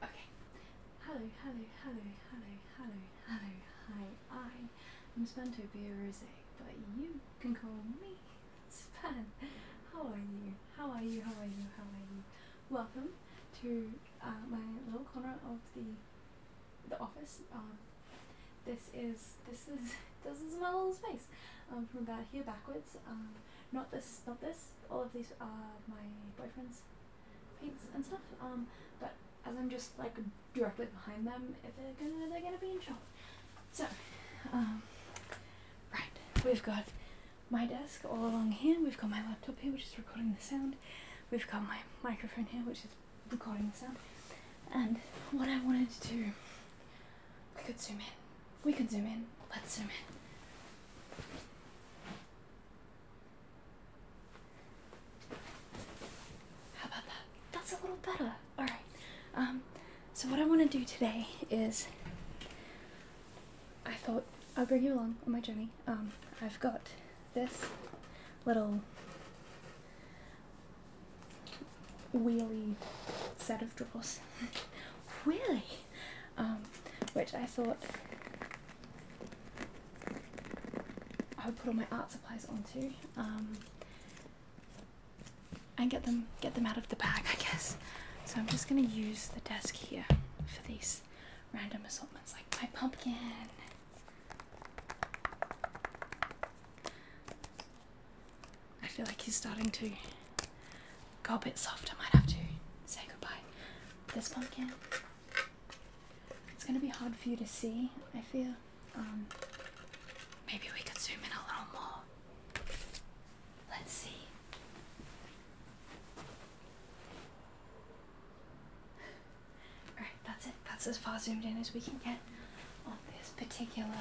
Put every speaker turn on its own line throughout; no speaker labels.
Hello, hello, hello, hello, hello, hello, hi. I am to Spantopia Rose, but you can call me Span. How are you? How are you? How are you? How are you? Welcome to uh, my little corner of the the office. Um, this is this is this is my little space. Um, from about here backwards. Um, not this, not this all of these are uh, my boyfriend's paints and stuff. Um, but as I'm just like directly behind them, if they're gonna they're gonna be in trouble. So, um, right, we've got my desk all along here. We've got my laptop here, which is recording the sound. We've got my microphone here, which is recording the sound. And what I wanted to do, we could zoom in we can zoom in. Let's zoom in. How about that? That's a little better. All right. Um, so what I want to do today is, I thought I'll bring you along on my journey. Um, I've got this little wheely set of drawers. Wheely. Um, which I thought I would put all my art supplies onto um, and get them get them out of the bag, I guess. So I'm just gonna use the desk here for these random assortments, like my pumpkin. I feel like he's starting to Go a bit soft. I might have to say goodbye. This pumpkin. It's gonna be hard for you to see. I feel. Um, maybe we could zoom in a little more. Let's see. All right, that's it. That's as far zoomed in as we can get on this particular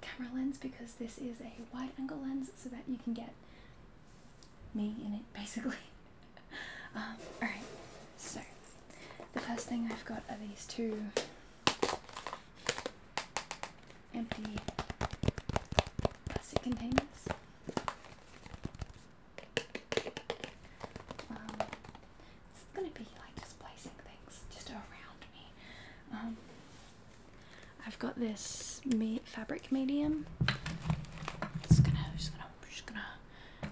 camera lens because this is a wide angle lens so that you can get me in it basically. Um, alright, so the first thing I've got are these two empty plastic containers. Um, going to be like just placing things just around me. Um, I've got this fabric medium. Just gonna, just gonna, just gonna,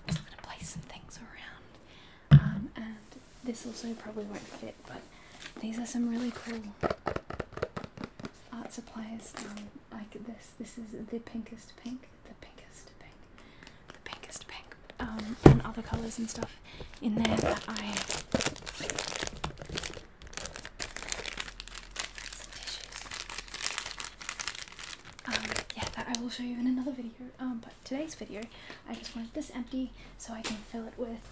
just gonna place some things around. Um, and this also probably won't fit, but these are some really cool art supplies. Um, like this, this is the pinkest pink, the pinkest pink, the pinkest pink, um, and other colors and stuff in there that I um, yeah, that I will show you in another video. Um, but today's video, I just want this empty so I can fill it with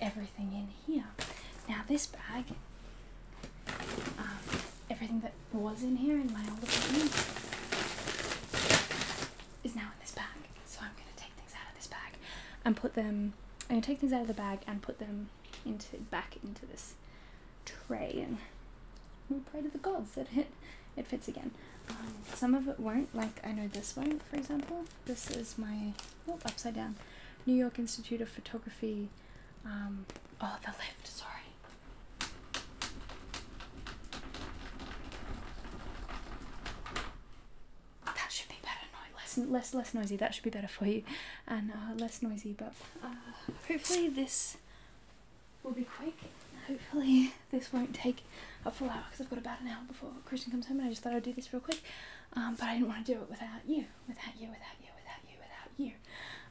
everything in here. Now this bag, um, everything that was in here in my older bedroom is now in this bag. So I'm gonna take things out this bag and put them i take things out of the bag and put them into back into this tray and we pray to the gods that it it fits again. Um, some of it won't, like I know this one, for example. This is my oh, upside down New York Institute of Photography. Um, oh, the lift. Sorry. That should be better. less less less noisy. That should be better for you, and uh, less noisy. But uh, hopefully this will be quick. Hopefully this won't take a full hour because I've got about an hour before Christian comes home, and I just thought I'd do this real quick. Um, but I didn't want to do it without you, without you, without you, without you, without you.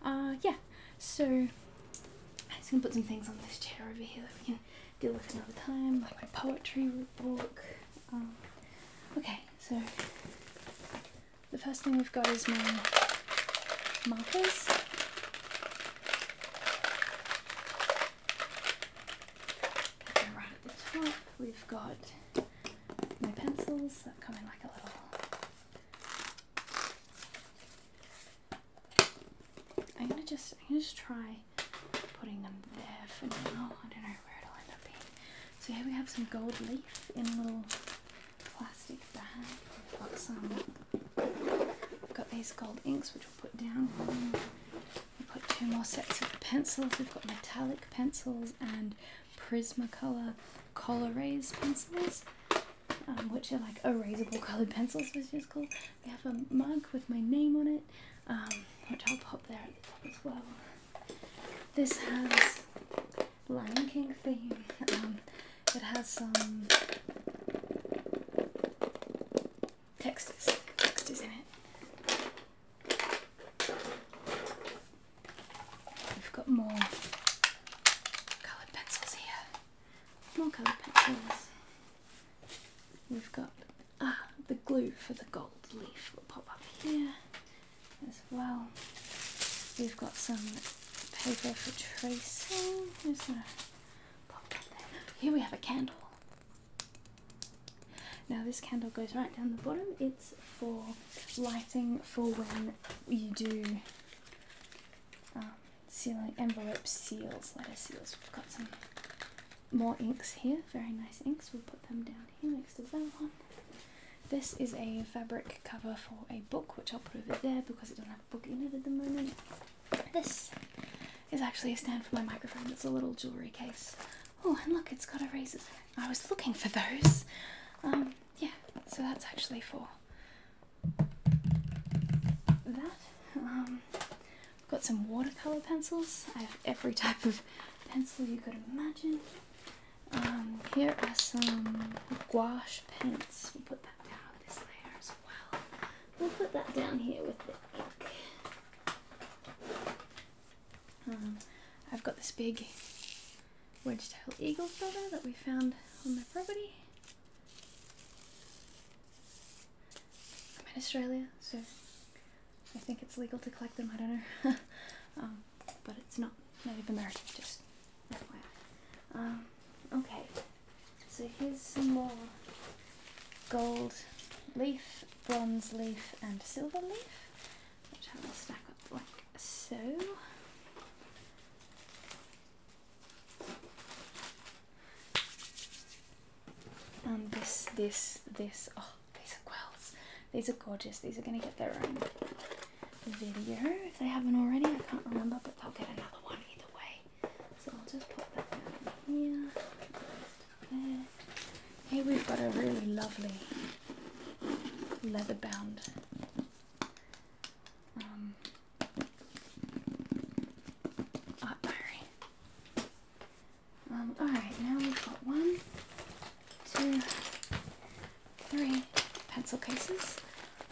Uh, yeah. So I'm just gonna put some things on this chair over here that we can deal with another time, like my poetry book. Um, okay, so the first thing we've got is my markers. Right at the top, we've got my pencils that come in like a little I'm gonna just I'm gonna just try putting them there for now. I don't know where it'll end up being. So here we have some gold leaf in a little plastic bag. We've got some. We've got these gold inks which we'll put down. We put two more sets of pencils. We've got metallic pencils and Prismacolor Colorase pencils. Um, which are like erasable coloured pencils, which is cool. We have a mug with my name on it, um, which I'll pop there at the top as well. This has Lion King theme. Um, it has some textures, textures in it. We've got more coloured pencils here. More coloured pencils. We've got ah, the glue for the gold leaf will pop up here as well. We've got some paper for tracing. Here we have a candle. Now this candle goes right down the bottom. It's for lighting for when you do um, sealing envelope seals, letter seals. We've got some more inks here, very nice inks. We'll put them down here next to that one. This is a fabric cover for a book, which I'll put over there because it doesn't have a book in it at the moment. This is actually a stand for my microphone. It's a little jewellery case. Oh, and look, it's got erasers. I was looking for those. Um, yeah, so that's actually for that. Um, got some watercolor pencils. I have every type of pencil you could imagine. Um, here are some gouache pens. We'll put that down this layer as well. We'll put that down here with the ink. Um, I've got this big wedge-tailed eagle feather that we found on my property. I'm in Australia, so I think it's legal to collect them. I don't know, um, but it's not Native American. Just FYI. Um, okay, so here's some more gold leaf, bronze leaf, and silver leaf, which I will stack up like so. And this, this, this. Oh, these are quills. These are gorgeous. These are going to get their own video if they haven't already. I can't remember, but they'll get another one either way. So I'll just put that down here. There. Here we've got a really lovely leather bound um, um, Alright, now we've got one, two, three pencil cases.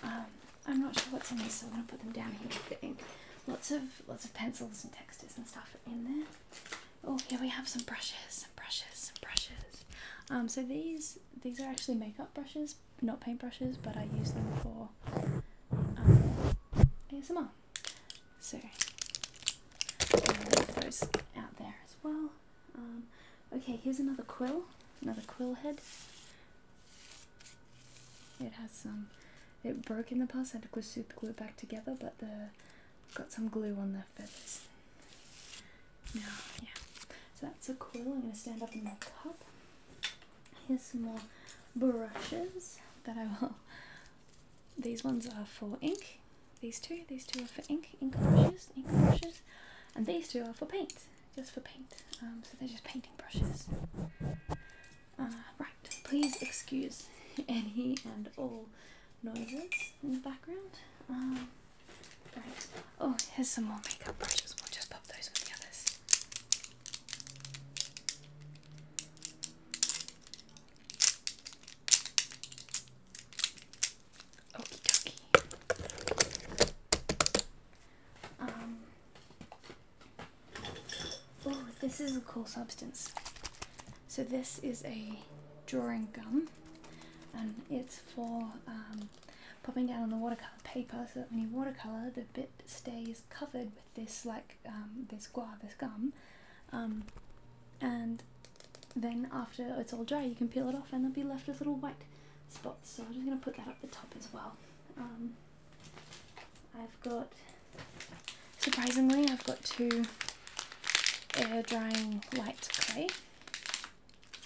Um, I'm not sure what's in these, so I'm going to put them down here I think Lots of, lots of pencils and textures and stuff in there. Oh, here we have some brushes, some brushes, some brushes. Um, so these, these are actually makeup brushes, not paint brushes, but I use them for um, ASMR. So those out there as well. Um, okay, here's another quill, another quill head. It has some. It broke in the past. I had to glue super glue it back together, but the got some glue on the feathers. Now, yeah. So that's a quill. I'm going to stand up in my cup. Here's some more brushes that I will these ones are for ink. These two, these two are for ink, ink brushes, ink brushes, and these two are for paint, just for paint. Um, so they're just painting brushes. Uh, right, please excuse any and all noises in the background. Um, right. Oh, here's some more makeup brushes. We'll just pop those with the others. Okie Um. Oh, this is a cool substance. So this is a drawing gum, and it's for um, popping down on the watercolor paper so that when you watercolor, the bit stays covered this like um, this guava, this gum, um, and then after it's all dry, you can peel it off, and they'll be left with little white spots. So I'm just gonna put that up the top as well. Um, I've got surprisingly, I've got two air drying light clay.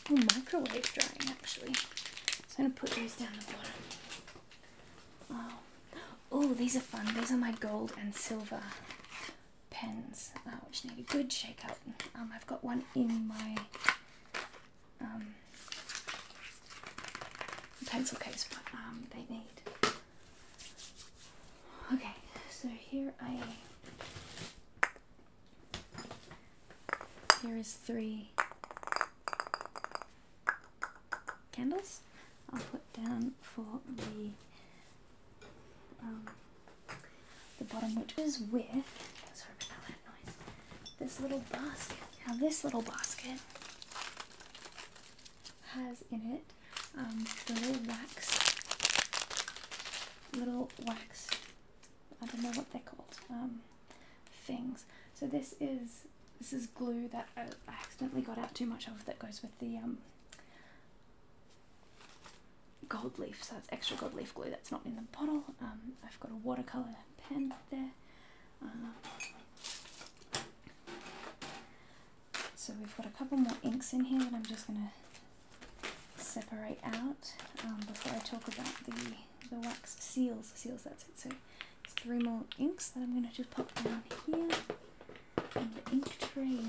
Oh, microwave drying actually. So I'm gonna put these down the bottom. Oh, these are fun. These are my gold and silver pens, uh, which need a good shake up. Um, I've got one in my um, pencil case, but um, they need. Okay, so here I. Here is three candles I'll put down for the um, the bottom, which is with This little basket. Now this little basket has in it um, the little wax, little wax. I don't know what they're called. Um, things. So this is this is glue that I accidentally got out too much of that goes with the um, gold leaf. So that's extra gold leaf glue that's not in the bottle. Um, I've got a watercolor pen there. Uh, so we've got a couple more inks in here that I'm just going to separate out um, before I talk about the, the wax seals. Seals, that's it. So three more inks that I'm going to just pop down here in the ink tray.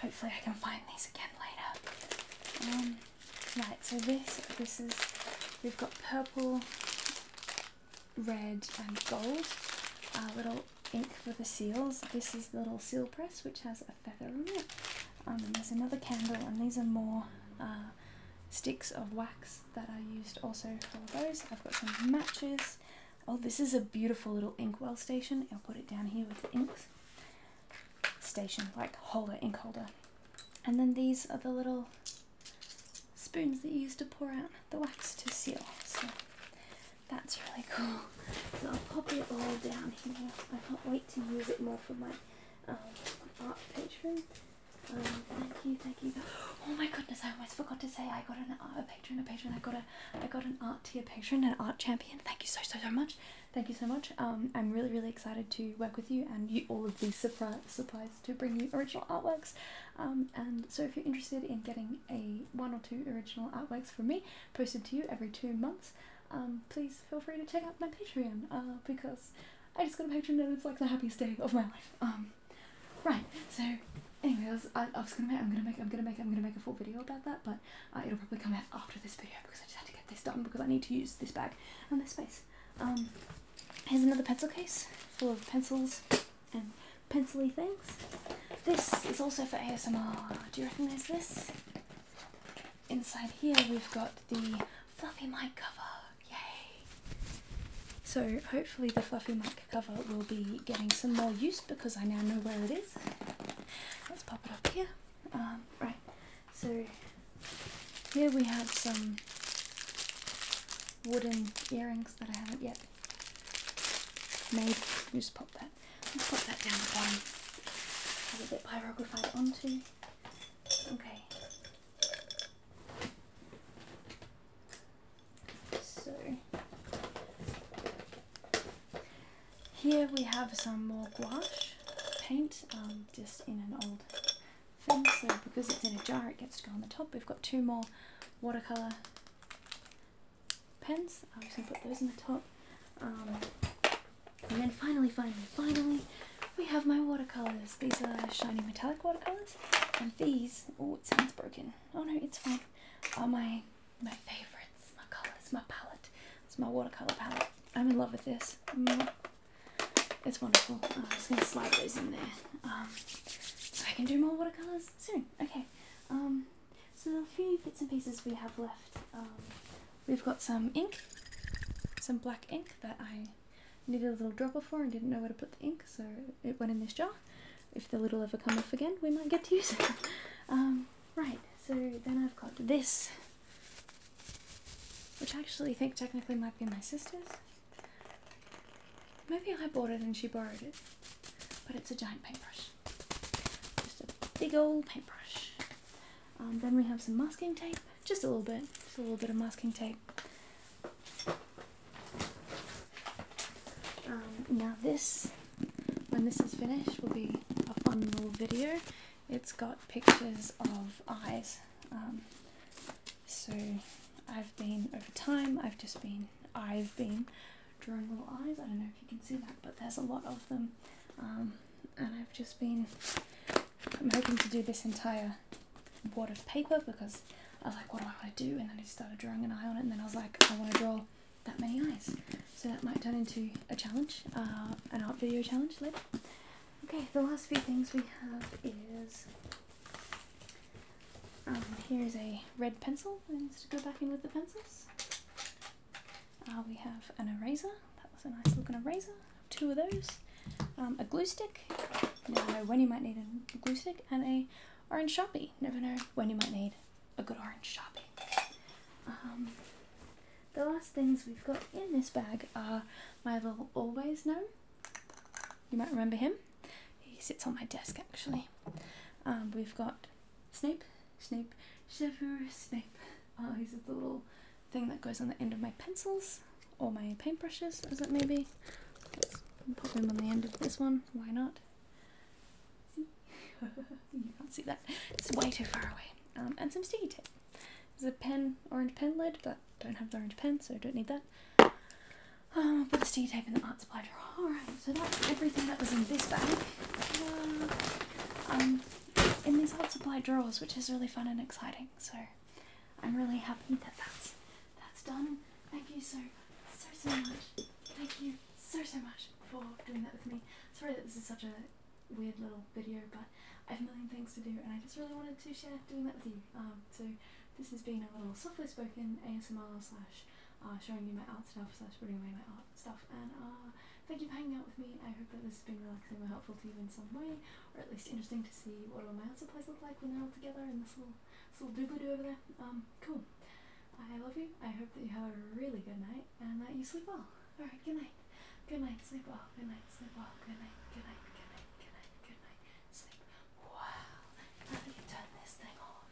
Hopefully I can find these again later. Um, right, so this, this is, we've got purple, red and gold. Our little ink for the seals. This is the little seal press which has a feather on it. Um, there's another candle and these are more uh, sticks of wax that I used also for those. I've got some matches. Oh, this is a beautiful little inkwell station. I'll put it down here with the inks. Station, like holder, ink holder. And then these are the little spoons that you use to pour out the wax to seal. So that's really cool. So I'll pop it all down here. I can't wait to use it more for my um, art patron. Um, thank you, thank you. Oh my goodness, I almost forgot to say I got an art patron, a patron. I got a, I got an art tier patron, an art champion. Thank you so so so much. Thank you so much. Um, I'm really really excited to work with you and you, all of these surprise supplies to bring you original artworks. Um, and so if you're interested in getting a one or two original artworks from me posted to you every two months, um, please feel free to check out my Patreon uh, because I just got a patron and it's like the happiest day of my life. Um, right. So, anyway, I was, I, was gonna make, I'm gonna make, I'm gonna make, I'm gonna make a full video about that, but uh, it'll probably come out after this video because I just had to get this done because I need to use this bag and this space. Um, here's another pencil case full of pencils and pencily things. This is also for ASMR. Do you recognise this? Inside here we've got the fluffy mic cover. Yay! So hopefully the fluffy mic cover will be getting some more use because I now know where it is. Let's pop it up here. Um, right. So here we have some wooden earrings that I haven't yet made. Just pop that. Let's pop that down the bottom. Have a bit pyrographied onto. Okay. So here we have some more gouache paint, um, just in an old thing. So because it's in a jar, it gets to go on the top. We've got two more watercolor pens. I'm just gonna put those in the top. Um, and then finally, finally, finally, we have my watercolors. These are shiny metallic watercolors, and these. Oh, it sounds broken. Oh no, it's fine. Are my my favorites, my colors, my palette. It's my watercolor palette. I'm in love with this. Mm. It's wonderful. Oh, I'm just gonna slide those in there. Um, so I can do more watercolors soon. Okay. Um, so the few bits and pieces we have left. Um, We've got some ink, some black ink that I needed a little dropper for and didn't know where to put the ink, so it went in this jar. If the lid ever come off again, we might get to use it. Um, right, so then I've got this, which I actually think technically might be my sister's. Maybe I bought it and she borrowed it, but it's a giant paintbrush. Just a big old paintbrush. Um, then we have some masking tape, just a little bit, just a little bit of masking tape. Um, now this, when this is finished, will be a fun little video. It's got pictures of eyes. Um, so I've been, over time, I've just been, I've been drawing little eyes. I don't know if you can see that, but there's a lot of them. and I've just been I'm hoping to do this entire wad of paper because I was like, what do I want to do? And then I started drawing an eye on it, and then I was like, I want to draw that many eyes. So that might turn into a challenge, uh, an art video challenge later. Okay, the last few things we have is um, here is a red pencil. I need to go back in with the pencils. Uh, we have an eraser. That was a nice looking eraser. Two of those. Um, a glue stick. You never know when you might need a glue stick. And a orange sharpie. Never know when you might need a good orange sharpie. Um, the last things we've got in this bag are my little always gnome. You might remember him. He sits on my desk actually. Um, we've got Snape, Snape, Severus Snape. Oh, he's a little thing that goes on the end of my pencils or my paintbrushes as it may be. Let's pop them on the end of this one, why not? you can't see that. It's way too far away. Um, and some sticky tape. There's a pen, orange pen lid, but don't have the orange pen, so I don't need that. Um, I'll put the sticky tape in the art supply drawer. Alright, so that's everything that was in this bag. Uh, um, in these old supply drawers, which is really fun and exciting. So I'm really happy that that's that's done. Thank you so so so much. Thank you so so much for doing that with me. Sorry that this is such a weird little video, but I have a million things to do, and I just really wanted to share doing that with you. Um, so this has been a little softly spoken ASMR slash uh, showing you my art stuff slash putting away my art stuff, and uh, Thank you for hanging out with me. I hope that this has been relaxing or helpful to you in some way, or at least interesting to see what all my art supplies look like when they're all together in this little, this little doobly doo over there. Um, cool. I love you. I hope that you have a really good night and that you sleep well. Alright, good night. Good night, sleep well. Good night, sleep well. Good night, good night, good night, good night, good night. Sleep. Wow. Now that you turn this thing off.